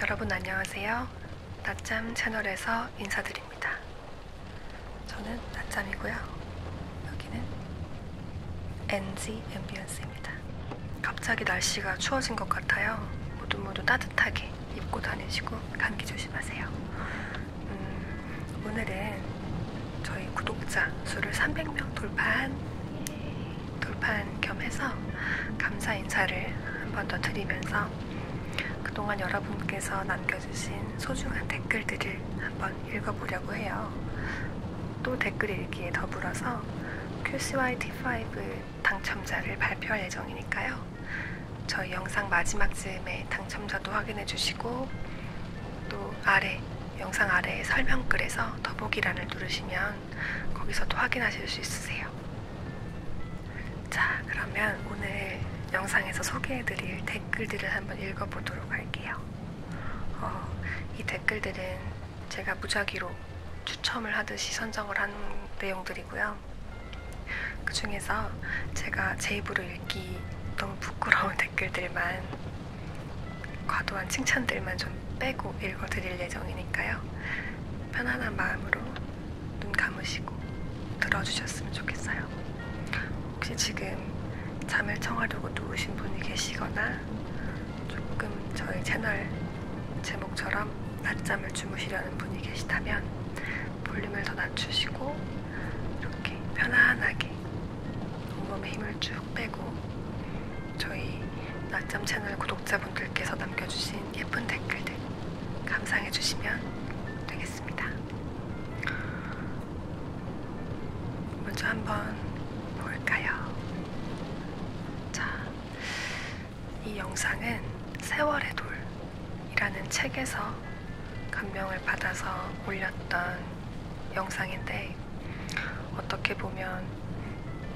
여러분 안녕하세요. 낮잠 채널에서 인사드립니다. 저는 낮잠이고요. 여기는 NG 앰비언스입니다. 갑자기 날씨가 추워진 것 같아요. 모두 모두 따뜻하게 입고 다니시고 감기 조심하세요. 음, 오늘은 저희 구독자 수를 300명 돌파한 돌파한 겸해서 감사 인사를 한 번 더 드리면서 그동안 여러분께서 남겨주신 소중한 댓글들을 한번 한번 읽어보려고 해요. 또 댓글 읽기에 더불어서 QCYT5 당첨자를 발표할 예정이니까요. 저희 영상 마지막 즈음에 당첨자도 확인해 주시고 또 아래 영상 아래에 설명글에서 더보기란을 누르시면 거기서도 확인하실 수 있으세요. 자 그러면 오늘 영상에서 소개해드릴 댓글들을 한번 읽어보도록 할게요. 어, 이 댓글들은 제가 무작위로 추첨을 하듯이 선정을 한 내용들이고요. 그 중에서 제가 제 입으로 읽기 너무 부끄러운 댓글들만 과도한 칭찬들만 좀 빼고 읽어드릴 예정이니까요. 편안한 마음으로 눈 감으시고 들어주셨으면 좋겠어요. 혹시 지금 잠을 청하려고 누우신 분이 계시거나 조금 저희 채널 제목처럼 낮잠을 주무시려는 분이 계시다면 볼륨을 더 낮추시고 이렇게 편안하게 온몸에 힘을 쭉 빼고 저희 낮잠 채널 구독자분들께서 남겨주신 예쁜 댓글들 감상해주시면 되겠습니다. 먼저 한번 볼까요? 자, 이 영상은 세월의 돌이라는 책에서 감명을 받아서 올렸던 영상인데 어떻게 보면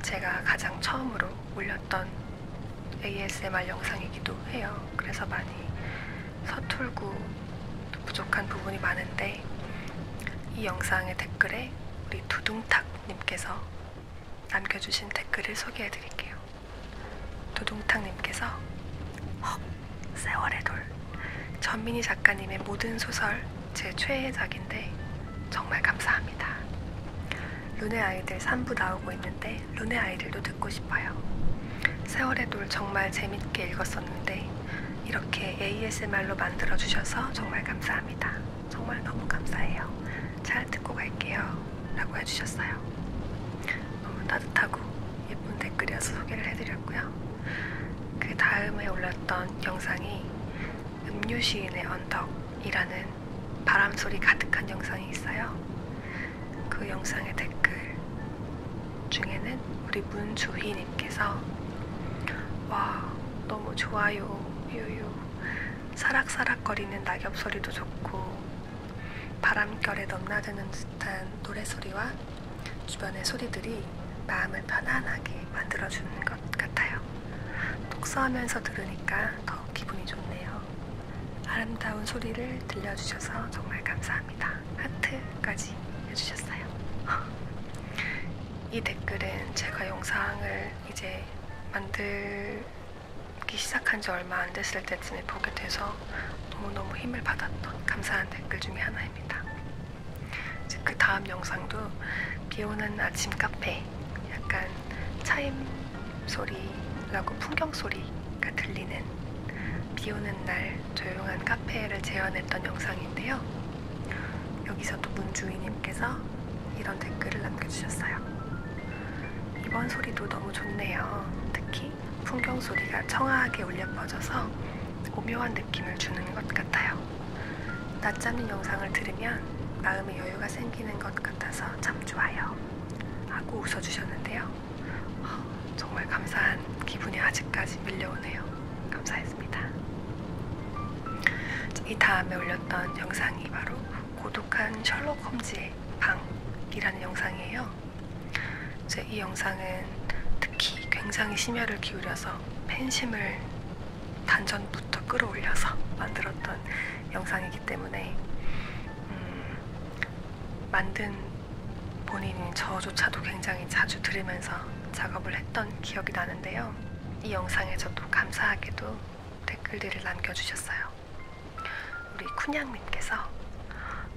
제가 가장 처음으로 올렸던 ASMR 영상이기도 해요. 그래서 많이 서툴고 또 부족한 부분이 많은데 이 영상의 댓글에 우리 두둥탁님께서 남겨주신 댓글을 소개해드릴게요. 두둥탁님께서 헉! 세월의 돌 전민희 작가님의 모든 소설 제 최애작인데 정말 감사합니다. 룬의 아이들 3부 나오고 있는데 룬의 아이들도 듣고 싶어요. 세월의 돌 정말 재밌게 읽었었는데 이렇게 ASMR로 만들어주셔서 정말 감사합니다. 정말 너무 감사해요. 잘 듣고 갈게요. 라고 해주셨어요. 너무 따뜻하고 예쁜 댓글이어서 소개를 해드렸고요. 그 다음에 올렸던 영상이 음료 시인의 언덕이라는 바람소리 가득한 영상이 있어요. 그 영상의 댓글 중에는 우리 문주인 님께서 와 너무 좋아요 유유 사락사락 거리는 낙엽 소리도 좋고 바람결에 넘나드는 듯한 노래소리와 주변의 소리들이 마음을 편안하게 만들어주는 것 같아요. 독서하면서 들으니까 더 기분이 좋네요. 아름다운 소리를 들려주셔서 정말 감사합니다. 감사합니다. 하트까지 해주셨어요. 이 댓글은 제가 영상을 이제 만들기 시작한 지 얼마 안 됐을 때쯤에 보게 돼서 너무너무 힘을 받았던 감사한 댓글 중에 하나입니다. 이제 그 다음 영상도 비 오는 아침 카페 약간 차임 소리라고 풍경 소리가 들리는 비 오는 날 조용한 카페를 재현했던 영상인데요. 여기서도 문주인님께서 이런 댓글을 남겨주셨어요. 이번 소리도 너무 좋네요. 특히 풍경 소리가 청아하게 울려 퍼져서 오묘한 느낌을 주는 것 같아요. 낮잠인 영상을 들으면 마음의 여유가 생기는 것 같아서 참 좋아요. 하고 웃어주셨는데요. 아, 정말 감사한 기분이 아직까지 밀려오네요. 감사했습니다. 이 다음에 올렸던 영상이 바로 고독한 셜록 홈즈의 방이라는 영상이에요. 이제 이 영상은 특히 굉장히 심혈을 기울여서 팬심을 단전부터 끌어올려서 만들었던 영상이기 때문에 음, 만든 본인이 저조차도 굉장히 자주 들으면서 작업을 했던 기억이 나는데요. 이 영상에서도 감사하게도 댓글들을 남겨주셨어요. 우리 쿤양님께서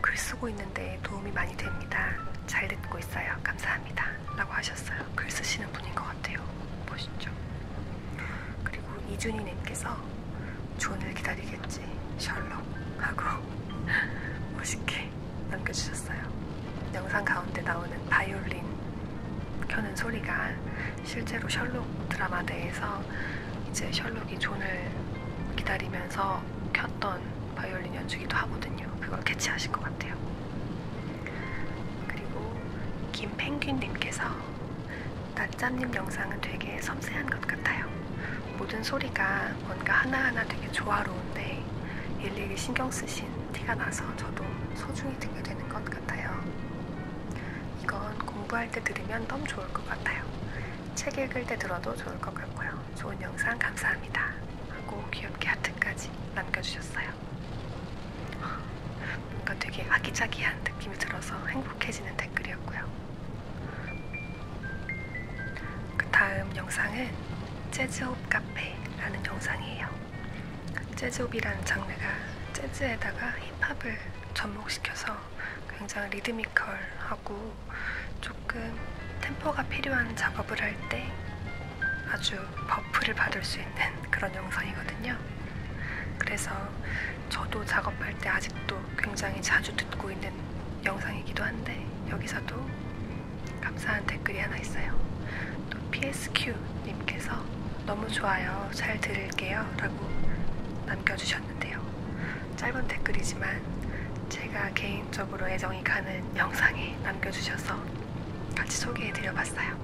글 쓰고 있는데 도움이 많이 됩니다. 잘 듣고 있어요. 감사합니다. 라고 하셨어요. 글 쓰시는 분인 것 같아요. 보시죠. 그리고 이준희님께서 존을 기다리겠지. 셜록 하고 멋있게 이렇게 남겨주셨어요. 영상 가운데 나오는 바이올린 켜는 소리가 실제로 셜록 드라마 내에서 이제 셜록이 존을 기다리면서 켰던 바이올린 연주기도 하거든요. 그걸 캐치하신 것 같아요. 그리고 김펭귄님께서 낮잠님 영상은 되게 섬세한 것 같아요. 모든 소리가 뭔가 하나하나 되게 조화로운데 일일이 신경 쓰신 티가 나서 저도 소중히 듣게 되는 것 같아요. 이건 공부할 때 들으면 너무 좋을 것 같아요. 책 읽을 때 들어도 좋을 것 같고요. 좋은 영상 감사합니다. 하고 귀엽게 하트까지 남겨주셨어요. 뭔가 되게 아기자기한 느낌이 들어서 행복해지는 댓글이었고요. 그 다음 영상은 재즈홉 카페라는 영상이에요. 재즈홉이라는 장르가 재즈에다가 힙합을 접목시켜서 굉장히 리드미컬하고 조금 템포가 필요한 작업을 할 때 아주 버프를 받을 수 있는 그런 영상이거든요. 그래서 저도 작업할 때 아직도 굉장히 자주 듣고 있는 영상이기도 한데 여기서도 감사한 댓글이 하나 있어요. 또 PSQ님께서 너무 좋아요. 잘 들을게요. 라고 남겨주셨는데요. 짧은 댓글이지만 제가 개인적으로 애정이 가는 영상에 남겨주셔서 같이 소개해드려 봤어요.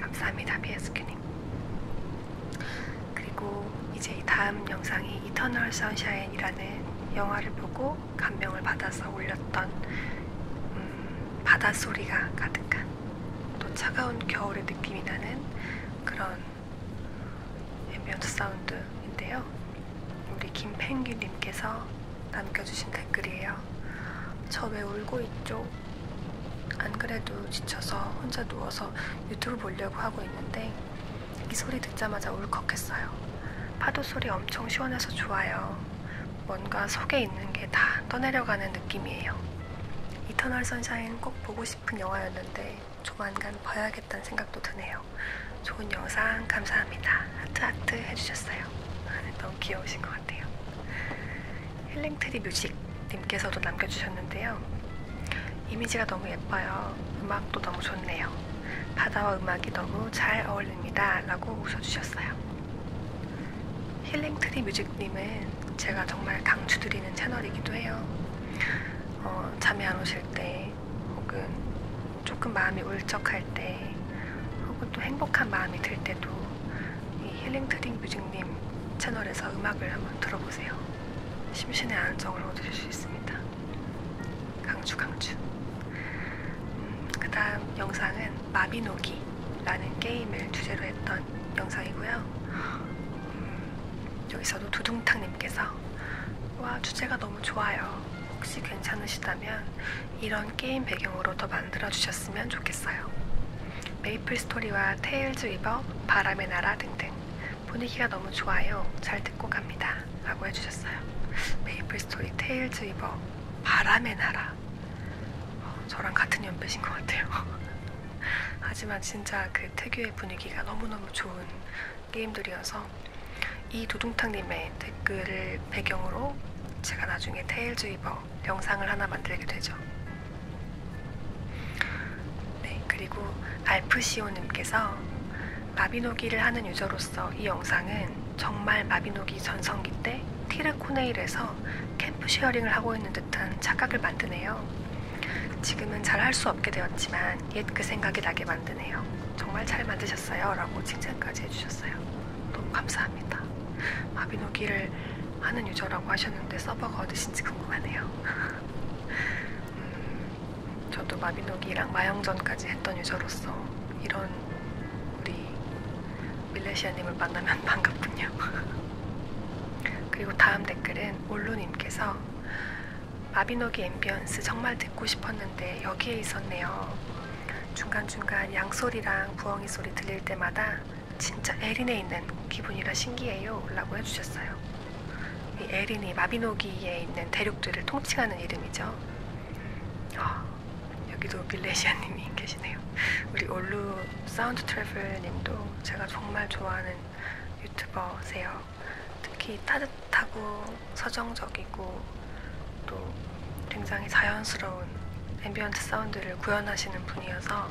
감사합니다. PSQ님. 그리고 이제 다음 영상이 이터널 선샤인이라는 영화를 보고 듣고 감명을 받아서 울렸던 음, 바닷소리가 가득한 또 차가운 겨울의 느낌이 나는 그런 앰비언트 사운드인데요. 우리 김펭귄님께서 남겨주신 댓글이에요. 저 왜 울고 있죠? 안 그래도 지쳐서 혼자 누워서 유튜브 보려고 하고 있는데 이 소리 듣자마자 울컥했어요. 파도 소리 엄청 시원해서 좋아요. 뭔가 속에 있는 게 다 떠내려가는 느낌이에요. 이터널 선샤인 꼭 보고 싶은 영화였는데 조만간 봐야겠다는 생각도 드네요. 좋은 영상 감사합니다. 하트하트 해주셨어요. 아, 너무 귀여우신 것 같아요. 힐링트리 뮤직님께서도 남겨주셨는데요. 이미지가 너무 예뻐요. 음악도 너무 좋네요. 바다와 음악이 너무 잘 어울립니다. 라고 웃어주셨어요. 힐링트리 뮤직님은 제가 정말 강추드리는 채널이기도 해요. 어, 잠이 안 오실 때, 혹은 조금 마음이 울적할 때, 혹은 또 행복한 마음이 들 때도 이 힐링트리 뮤직님 채널에서 음악을 한번 들어보세요. 심신의 안정을 얻으실 수 있습니다. 강추 강추. 음, 그 다음 영상은 마비노기라는 게임을 주제로 했던 영상이고요. 음, 여기서도 두둥탕님께서 와 주제가 너무 좋아요. 혹시 괜찮으시다면 이런 게임 배경으로 더 만들어 주셨으면 좋겠어요. 메이플 스토리와 테일즈 위버, 바람의 나라 등등 분위기가 너무 좋아요. 잘 듣고 갑니다. 라고 해주셨어요. 메이플 스토리 테일즈 이버 바람의 나라. 어, 저랑 같은 연배신 것 같아요. 하지만 진짜 그 특유의 분위기가 너무너무 좋은 게임들이어서 이 두둥탕님의 댓글을 배경으로 제가 나중에 테일즈 이버 영상을 하나 만들게 되죠. 네, 그리고 알프시오님께서 마비노기를 하는 유저로서 이 영상은 정말 마비노기 전성기 때 티르코네일에서 캠프 쉐어링을 하고 있는 듯한 착각을 만드네요. 지금은 잘 할 수 없게 되었지만 옛 그 생각이 나게 만드네요. 정말 잘 만드셨어요. 라고 칭찬까지 해주셨어요. 너무 감사합니다. 마비노기를 하는 유저라고 하셨는데 서버가 어디신지 궁금하네요. 음, 저도 마비노기랑 마영전까지 했던 유저로서 이런 우리 밀레시아님을 만나면 반갑군요. 그리고 다음 댓글은 올로님께서 마비노기 앰비언스 정말 듣고 싶었는데 여기에 있었네요. 중간중간 양소리랑 부엉이 소리 들릴 때마다 진짜 에린에 있는 기분이라 신기해요 라고 해주셨어요. 이 에린이 마비노기에 있는 대륙들을 통칭하는 이름이죠. 어, 여기도 밀레시아님이 계시네요. 우리 올루 사운드 트래블님도 제가 정말 좋아하는 유튜버세요. 특히 따뜻하고 서정적이고 또 굉장히 자연스러운 앰비언트 사운드를 구현하시는 분이어서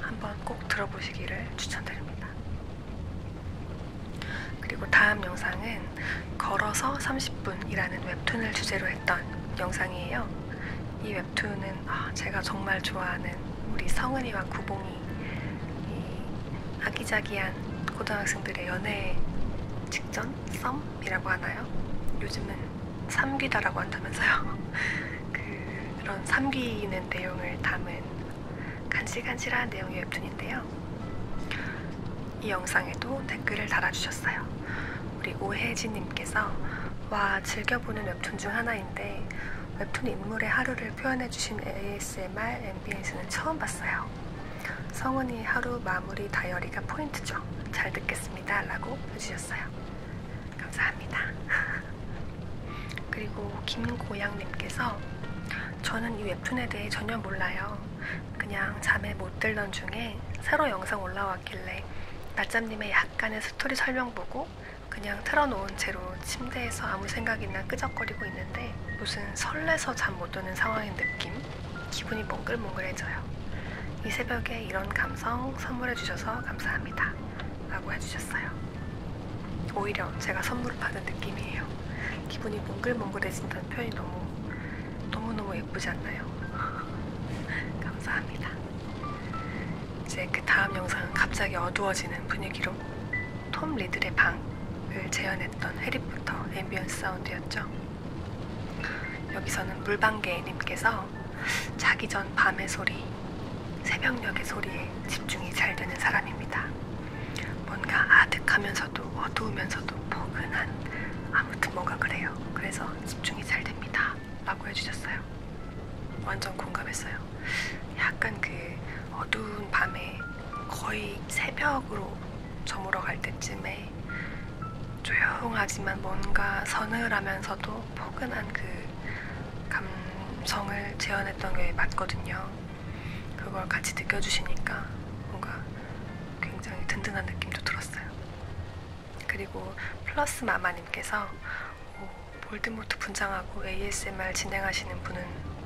한번 꼭 들어보시기를 추천드립니다. 그리고 다음 영상은 걸어서 30분이라는 웹툰을 주제로 했던 영상이에요. 이 웹툰은 아, 제가 정말 좋아하는 우리 성은이와 구봉이 아기자기한 고등학생들의 연애 직전 썸이라고 하나요? 요즘은 삼귀다라고 한다면서요. 그, 그런 삼귀는 내용을 담은 간질간질한 내용의 웹툰인데요. 이 영상에도 댓글을 달아주셨어요. 우리 오혜진님께서 와 즐겨보는 웹툰 중 하나인데 웹툰 인물의 하루를 표현해주신 ASMR MBS는 처음 봤어요. 성은이 하루 마무리 다이어리가 포인트죠. 잘 듣겠습니다. 라고 해주셨어요. 감사합니다. 그리고 김고양님께서 저는 이 웹툰에 대해 전혀 몰라요. 그냥 잠에 못 들던 중에 새로 영상 올라왔길래 낮잠님의 약간의 스토리 설명 보고 그냥 틀어놓은 채로 침대에서 아무 생각이나 끄적거리고 있는데 무슨 설레서 잠 못 드는 상황인 느낌? 기분이 몽글몽글해져요. 이 새벽에 이런 감성 선물해주셔서 감사합니다. 라고 해주셨어요. 오히려 제가 선물을 받은 느낌이에요. 기분이 몽글몽글해진다는 표현이 너무 너무너무 예쁘지 않나요? 감사합니다. 이제 그 다음 영상은 갑자기 어두워지는 분위기로 톰 리들의 방을 재현했던 해리포터 앰비언스 사운드였죠. 여기서는 물방개님께서 자기 전 밤의 소리, 새벽녘의 소리에 집중이 잘 되는 사람입니다. 뭔가 아득하면서도 어두우면서도 포근한 아무튼 뭔가 그래요. 그래서 집중이 잘 됩니다. 라고 해주셨어요. 완전 공감했어요. 약간 그 어두운 밤에 거의 새벽으로 저물어 갈 때쯤에 조용하지만 뭔가 서늘하면서도 포근한 그 감성을 재현했던 게 맞거든요. 그걸 같이 느껴주시니까 뭔가 굉장히 든든한 느낌도 들었어요. 그리고 플러스 마마님께서 어, 볼드모트 분장하고 ASMR 진행하시는 분은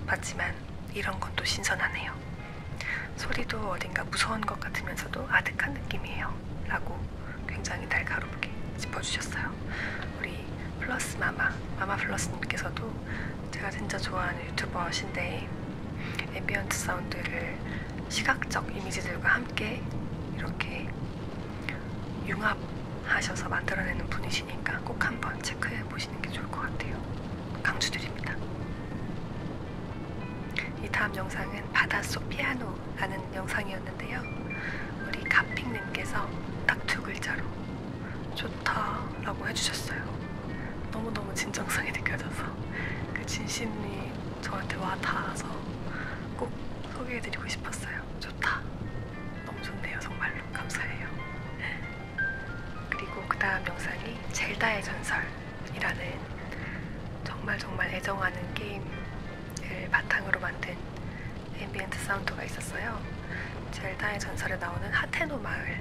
봤지만 이런 건또 신선하네요. 소리도 어딘가 무서운 것 같으면서도 아득한 느낌이에요. 라고 굉장히 날카롭게 짚어주셨어요. 우리 플러스 마마, 마마 플러스님께서도 제가 진짜 좋아하는 유튜버신데 앰비언트 사운드를 시각적 이미지들과 함께 이렇게 융합하셔서 만들어내는 분이시니까 꼭 한번 체크해 보시는 게 좋을 것 같아요. 강추드립니다. 이 다음 영상은 바닷속 피아노라는 영상이었는데요. 우리 가핑님께서 딱 두 글자로 좋다라고 해주셨어요. 너무너무 진정성이 느껴져서 그 진심이 저한테 와 닿아서 꼭 소개해드리고 싶었어요. 좋다. 너무 좋네요. 정말로 감사해요. 그리고 그 다음 영상이 젤다의 전설이라는 정말 정말 애정하는 게임을 바탕으로 만든 앰비언트 사운드가 있었어요. 젤다의 전설에 나오는 하테노 마을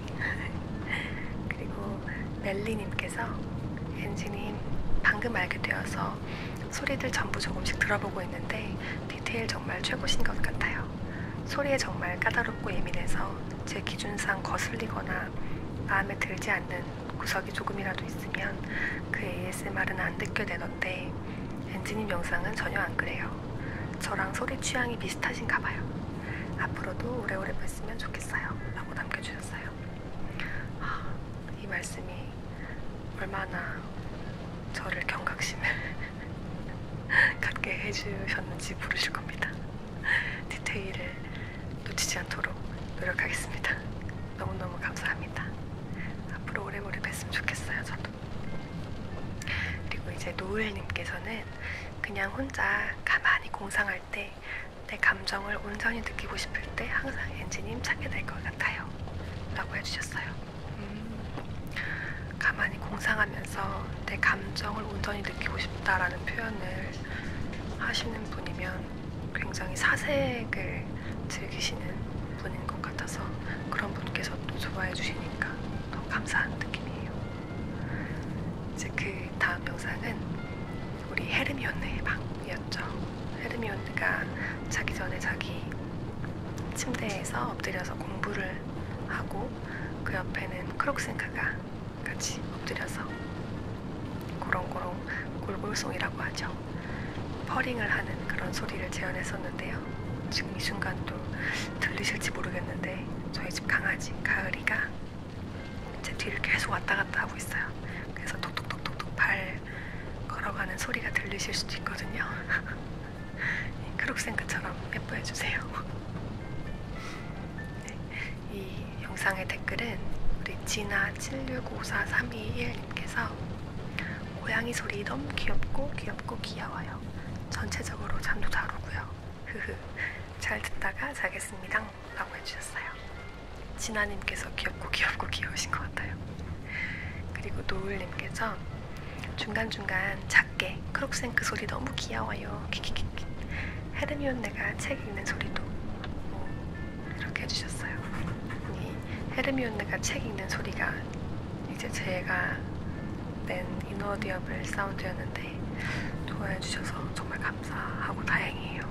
그리고 멜리님께서 엔지님 방금 알게 되어서 소리들 전부 조금씩 들어보고 있는데 디테일 정말 최고신 것 같아요. 소리에 정말 까다롭고 예민해서 제 기준상 거슬리거나 마음에 들지 않는 구석이 조금이라도 있으면 그 ASMR은 안 느껴내던데 엔지님 영상은 전혀 안 그래요. 저랑 소리 취향이 비슷하신가 봐요. 앞으로도 오래오래 뵀으면 좋겠어요. 라고 남겨주셨어요. 아, 이 말씀이 얼마나 저를 경각심을 갖게 해주셨는지 모르실 겁니다. 디테일을 놓치지 않도록 노력하겠습니다. 너무너무 감사합니다. 앞으로 오래오래 뵀으면 좋겠어요, 저도. 그리고 이제 노을님께서는 그냥 혼자 가만히 공상할 때 내 감정을 온전히 느끼고 싶을 때 항상 엔지님 찾게 될 것 같아요. 라고 해주셨어요. 음, 가만히 공상하면서 내 감정을 온전히 느끼고 싶다라는 표현을 하시는 분이면 굉장히 사색을 즐기시는 분인 것 같아서 그런 분께서 또 좋아해 주시니까 너무 감사한 느낌이에요. 이제 그 다음 영상은 우리 헤르미온의 방이었죠. 헤르미온가 자기 전에 자기 침대에서 엎드려서 공부를 하고 그 옆에는 크록센카가 같이 엎드려서 고롱고롱 골골송이라고 하죠. 퍼링을 하는 그런 소리를 재현했었는데요. 지금 이 순간도 들리실지 모르겠는데 저희 저희 집 강아지 가을이가 제 뒤를 계속 왔다 갔다 하고 있어요. 그래서 톡톡톡톡톡 발 걸어가는 소리가 들리실 수도 있거든요. 크록생크처럼 예뻐해 주세요. 네, 이 영상의 댓글은 우리 지나 76543221님께서 고양이 소리 너무 귀엽고 귀엽고 귀여워요. 전체적으로 잠도 잘 오고요. 흐흐. 잘 듣다가 자겠습니다. 라고 해주셨어요. 진아님께서 귀엽고 귀엽고 귀여우신 것 같아요. 그리고 노을님께서 중간중간 작게 크록생크 소리 너무 귀여워요. 키키키키. 헤르미온네가 책 읽는 소리도 뭐 이렇게 해주셨어요. 이 헤르미온네가 책 읽는 소리가 이제 제가 낸 이너디어블 사운드였는데 많은데 네. 좋아해주셔서 정말 감사하고 다행이에요.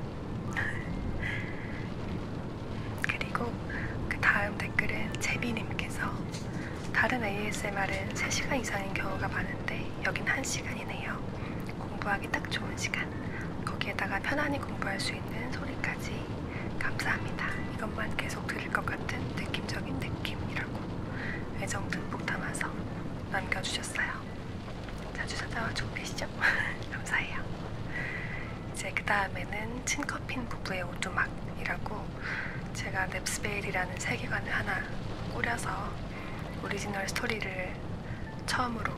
그리고 그 다음 댓글은 제비님께서 다른 ASMR은 3시간 이상인 경우가 많은데 여긴 1시간이네요. 공부하기 딱 좋은 시간. 거기에다가 편안히 공부할 수 있는 소리까지 감사합니다. 이것만 계속 들을 것 같은 느낌적인 느낌이라고 애정 듬뿍 담아서 남겨주셨어요. 자주 찾아와주고 계시죠? 감사해요. 이제 그 다음에는 친커핀 부부의 오두막이라고 제가 넵스베일이라는 세계관을 하나 꾸려서 오리지널 스토리를 처음으로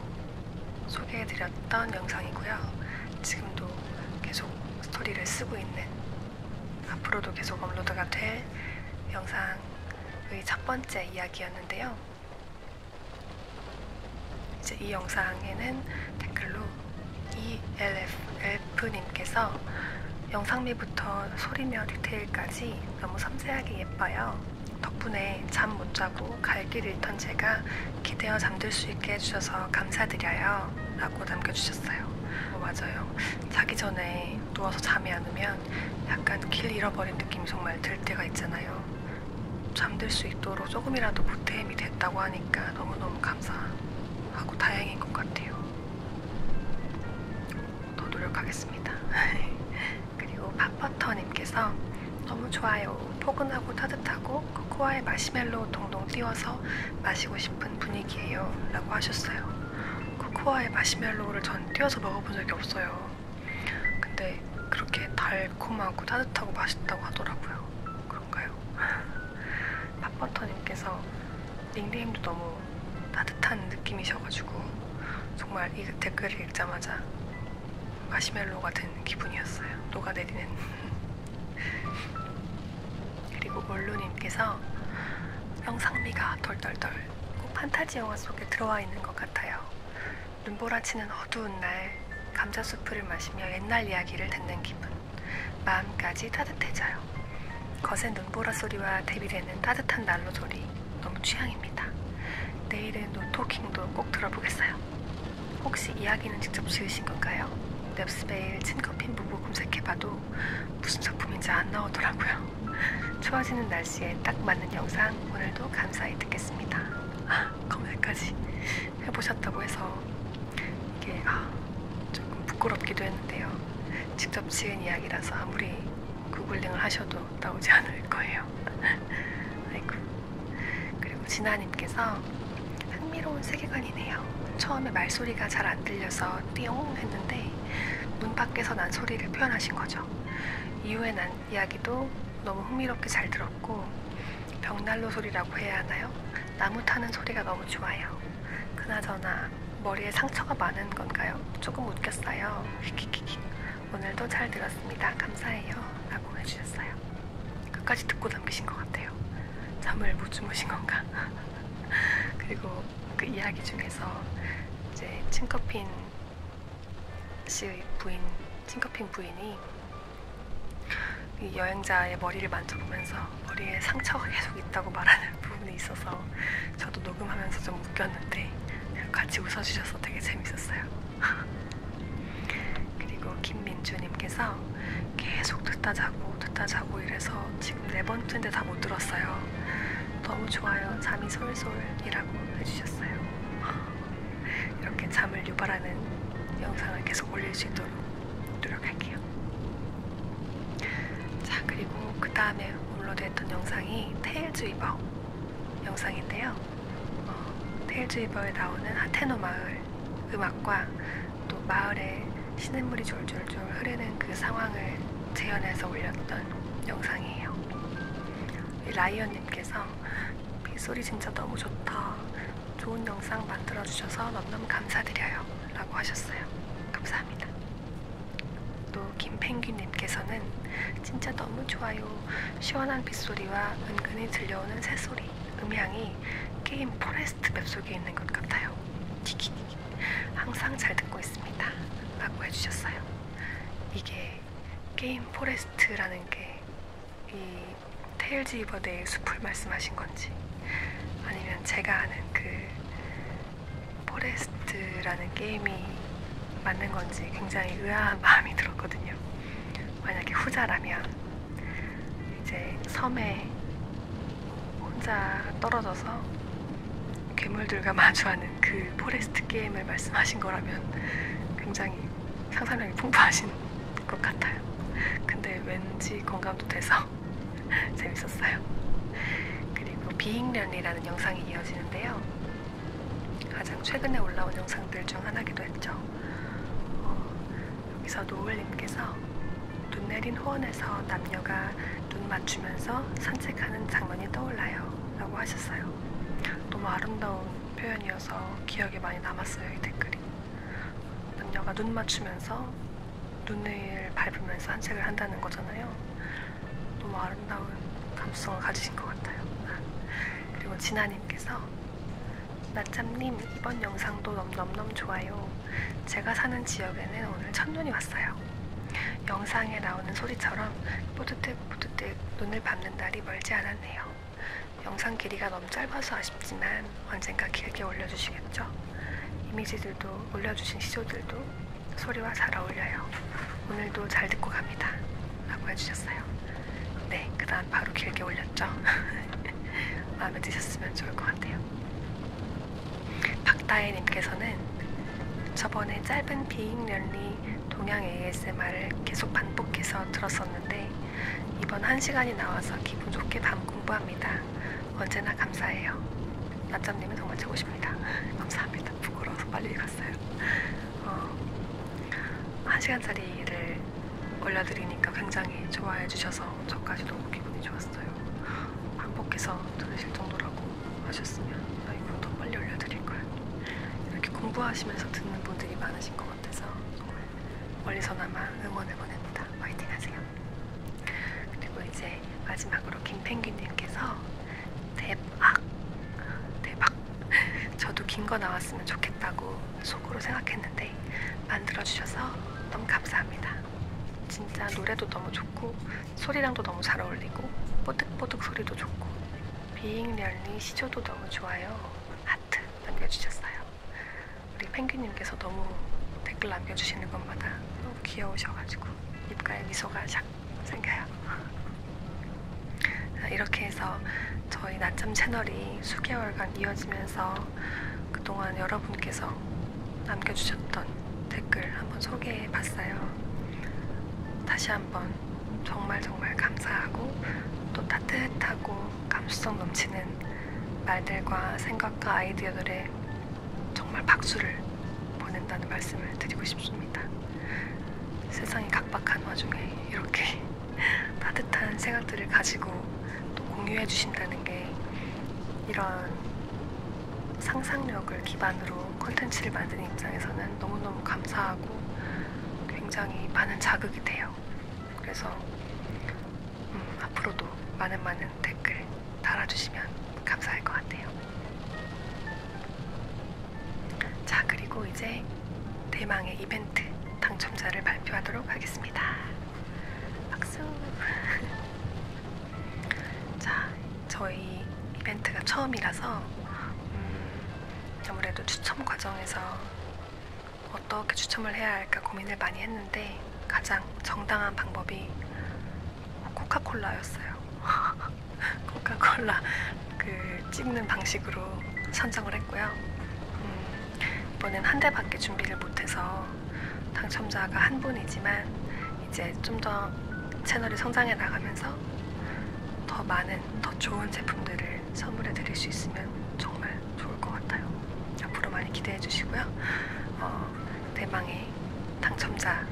소개해드렸던 영상이고요. 지금도 계속 스토리를 쓰고 있는 앞으로도 계속 업로드가 될 영상 영상의 그 첫 번째 이야기였는데요. 이제 이 영상에는 댓글로 ELF 엘프님께서 영상미부터 소리며 디테일까지 너무 섬세하게 예뻐요. 덕분에 잠 못 자고 갈길 잃던 제가 기대어 잠들 수 있게 해주셔서 감사드려요. 라고 남겨주셨어요. 어, 맞아요. 자기 전에 누워서 잠이 안 오면 보면 약간 길 잃어버린 느낌이 정말 들 때가 있잖아요. 잠들 수 있도록 조금이라도 보탬이 됐다고 하니까 너무너무 감사하고 다행인 것 같아요. 더 노력하겠습니다. 그리고 팝버터님께서 너무 좋아요. 포근하고 따뜻하고 코코아의 마시멜로 동동 띄워서 마시고 싶은 분위기예요. 라고 하셨어요. 코코아의 마시멜로우를 전 띄워서 먹어본 적이 없어요. 근데 그렇게 달콤하고 따뜻하고 맛있다고 하더라고요. 그런가요? 팝버터님께서 닉네임도 너무 따뜻한 느낌이셔가지고 정말 이 댓글을 읽자마자 마시멜로가 된 기분이었어요. 녹아내리는. 그리고 올루님께서 영상미가 덜덜덜 꼭 판타지 영화 속에 들어와 있는 것 같아요. 눈보라치는 어두운 날 감자 수프를 마시며 옛날 이야기를 듣는 기분. 마음까지 따뜻해져요. 거센 눈보라 소리와 대비되는 따뜻한 난로 소리 너무 취향입니다. 내일은 노토킹도 꼭 들어보겠어요. 혹시 이야기는 직접 지으신 건가요? 넵스베일 친커핀 부부 검색해봐도 무슨 작품인지 안 나오더라고요. 추워지는 날씨에 딱 맞는 영상 오늘도 감사히 듣겠습니다. 아, 검색까지 해보셨다고 해서 이게 아, 조금 부끄럽기도 했는데요. 직접 지은 이야기라서 아무리 구글링을 하셔도 나오지 않을 거예요. 아이고. 그리고 진아님께서 흥미로운 세계관이네요. 처음에 말소리가 잘 안 들려서 띠용 했는데 눈 밖에서 난 소리를 표현하신 거죠. 이후에 난 이야기도 너무 흥미롭게 잘 들었고 벽난로 소리라고 해야 하나요? 나무 타는 소리가 너무 좋아요. 그나저나 머리에 상처가 많은 건가요? 조금 웃겼어요. 히히히히. 오늘도 잘 들었습니다. 감사해요. 라고 해주셨어요. 끝까지 듣고 남기신 것 같아요. 잠을 못 주무신 건가? 그리고 그 이야기 중에서 이제 칭커핀 씨의 부인, 칭커핀 부인이 이 여행자의 머리를 만져보면서 머리에 상처가 계속 있다고 말하는 부분이 있어서 저도 녹음하면서 좀 웃겼는데 같이 웃어주셔서 되게 재밌었어요. 그리고 김민주님께서 계속 듣다 자고 듣다 자고 이래서 지금 네 번째인데 다 못 들었어요. 너무 좋아요. 잠이 솔솔이라고 해주셨어요. 이렇게 잠을 유발하는 영상을 계속 올릴 수 있도록 노력할게요. 자, 그리고 그 다음에 올로드했던 영상이 테일즈위버 영상인데요. 어, 테일즈위버에 나오는 하테노 마을 음악과 또 마을에 시냇물이 졸졸졸 흐르는 그 상황을 재현해서 올렸던 영상이에요. 라이언님께서 빗소리 진짜 너무 좋다. 좋은 영상 만들어주셔서 너무너무 감사드려요. 라고 하셨어요. 감사합니다. 또 김펭귄님께서는 진짜 너무 좋아요. 시원한 빗소리와 은근히 들려오는 새소리, 음향이 게임 포레스트 맵 속에 있는 것 같아요. 키키 항상 잘 듣고 있습니다. 라고 해주셨어요. 이게 게임 포레스트라는 게 이 테일즈 이버데의 숲을 말씀하신 건지 아니면 제가 아는 그 포레스트라는 게임이 맞는 건지 굉장히 의아한 마음이 들었거든요. 만약에 후자라면 이제 섬에 혼자 떨어져서 괴물들과 마주하는 그 포레스트 게임을 말씀하신 거라면 굉장히 상상력이 풍부하신 것 같아요. 근데 왠지 공감도 돼서 재밌었어요. 그리고 비잉련이라는 영상이 이어지는데요. 가장 최근에 올라온 영상들 중 하나기도 했죠. 어, 여기서 노을님께서 눈 내린 호원에서 남녀가 눈 맞추면서 산책하는 장면이 떠올라요. 라고 하셨어요. 너무 아름다운 표현이어서 기억에 많이 남았어요. 이 댓글이. 남녀가 눈 맞추면서 눈을 밟으면서 산책을 한다는 거잖아요. 너무 아름다운 감수성을 가지신 것 같아요. 그리고 진아님께서 나참님 이번 영상도 넘 넘 넘 좋아요. 제가 사는 지역에는 오늘 첫눈이 왔어요. 영상에 나오는 소리처럼 뿌듯해 뿌듯해 눈을 밟는 날이 멀지 않았네요. 영상 길이가 너무 짧아서 아쉽지만 언젠가 길게 올려주시겠죠? 이미지들도 올려주신 시조들도 소리와 잘 어울려요. 오늘도 잘 듣고 갑니다. 라고 해주셨어요. 네, 그 다음 바로 길게 올렸죠? 마음에 드셨으면 좋을 것 같아요. 박다혜님께서는 저번에 짧은 비잉랠리 동양 ASMR을 계속 반복해서 들었었는데 이번 한 시간이 나와서 기분 좋게 밤 공부합니다. 언제나 감사해요. 낮잠님은 정말 최고십니다. 감사합니다. 부끄러워서 빨리 읽었어요. 어, 한 시간짜리를 올려드리니까 굉장히 좋아해 주셔서 저까지 너무 기분이 좋았어요. 반복해서 들으실 정도라고 하셨으면 라이브로 더 빨리 올려드릴걸 이렇게 공부하시면서 듣는 분들이 많으신 것 같아서 정말 멀리서나마 응원을 보냅니다 화이팅 하세요 그리고 이제 마지막으로 김펭귄님께서 대박 대박 저도 긴 거 나왔으면 좋겠다고 속으로 생각했는데 만들어주셔서 너무 감사합니다 진짜 노래도 너무 좋고 소리랑도 너무 잘 어울리고 뽀득뽀득 소리도 좋고 비잉리얼리 시조도 너무 좋아요 하트 남겨주셨어요 우리 펭귄님께서 너무 댓글 남겨주시는 것마다 너무 귀여우셔가지고 입가에 미소가 샥 생겨요 아, 이렇게 해서 저희 낮잠 채널이 수개월간 이어지면서 그동안 여러분께서 남겨주셨던 댓글 한번 소개해 봤어요 다시 한번 한번 정말 정말 감사하고 또 따뜻하고 감수성 넘치는 말들과 생각과 아이디어들에 정말 박수를 보낸다는 말씀을 드리고 싶습니다. 세상이 각박한 와중에 이렇게 따뜻한 생각들을 가지고 또 공유해 주신다는 게 이런 상상력을 기반으로 콘텐츠를 만드는 입장에서는 너무너무 감사하고 굉장히 많은 자극이 돼요. 그래서 음, 앞으로도 많은 많은 댓글 달아주시면 감사할 것 같아요. 자, 그리고 이제 대망의 이벤트 당첨자를 발표하도록 하겠습니다. 박수! 자, 저희 이벤트가 처음이라서 음, 아무래도 추첨 과정에서 어떻게 추첨을 해야 할까 고민을 많이 했는데 가장 정당한 방법이 코카콜라였어요. 코카콜라 그 찍는 방식으로 선정을 했고요. 음, 이번엔 한 대밖에 준비를 못해서 당첨자가 한 분이지만 이제 좀 더 채널이 성장해 나가면서 더 많은 더 좋은 제품들을 선물해 드릴 수 있으면 정말 좋을 것 같아요. 앞으로 많이 기대해 주시고요. 어, 대망의 당첨자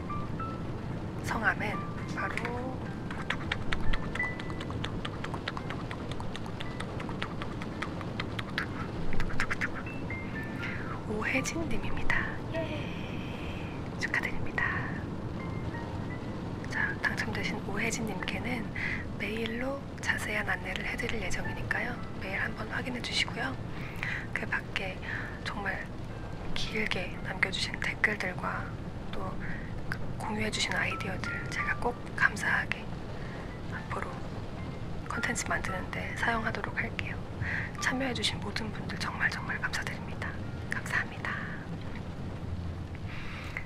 성함은 바로 오혜진님입니다. 예. 축하드립니다. 자, 당첨되신 오혜진님께는 메일로 자세한 안내를 해드릴 예정이니까요. 메일 한번 확인해 주시고요. 그 밖에 정말 길게 남겨주신 댓글들과 또 공유해주신 아이디어들 제가 꼭 감사하게 앞으로 컨텐츠 만드는데 사용하도록 할게요. 참여해주신 모든 분들 정말 정말 감사드립니다. 감사합니다.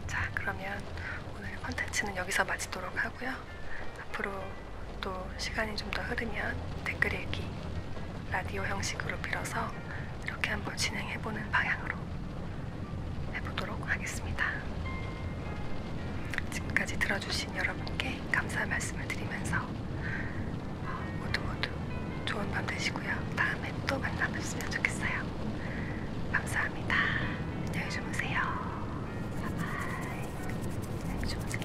자, 그러면 오늘 컨텐츠는 여기서 마치도록 하고요. 앞으로 또 시간이 좀 더 흐르면 댓글 읽기 라디오 형식으로 빌어서 이렇게 한번 진행해보는 방향으로 해보도록 하겠습니다. 지금까지 들어주신 여러분께 감사 말씀을 드리면서 모두 모두 좋은 밤 되시고요. 다음에 또 만나뵙으면 좋겠어요. 감사합니다. 안녕히 주무세요. 바이바이. 안녕히 주무세요.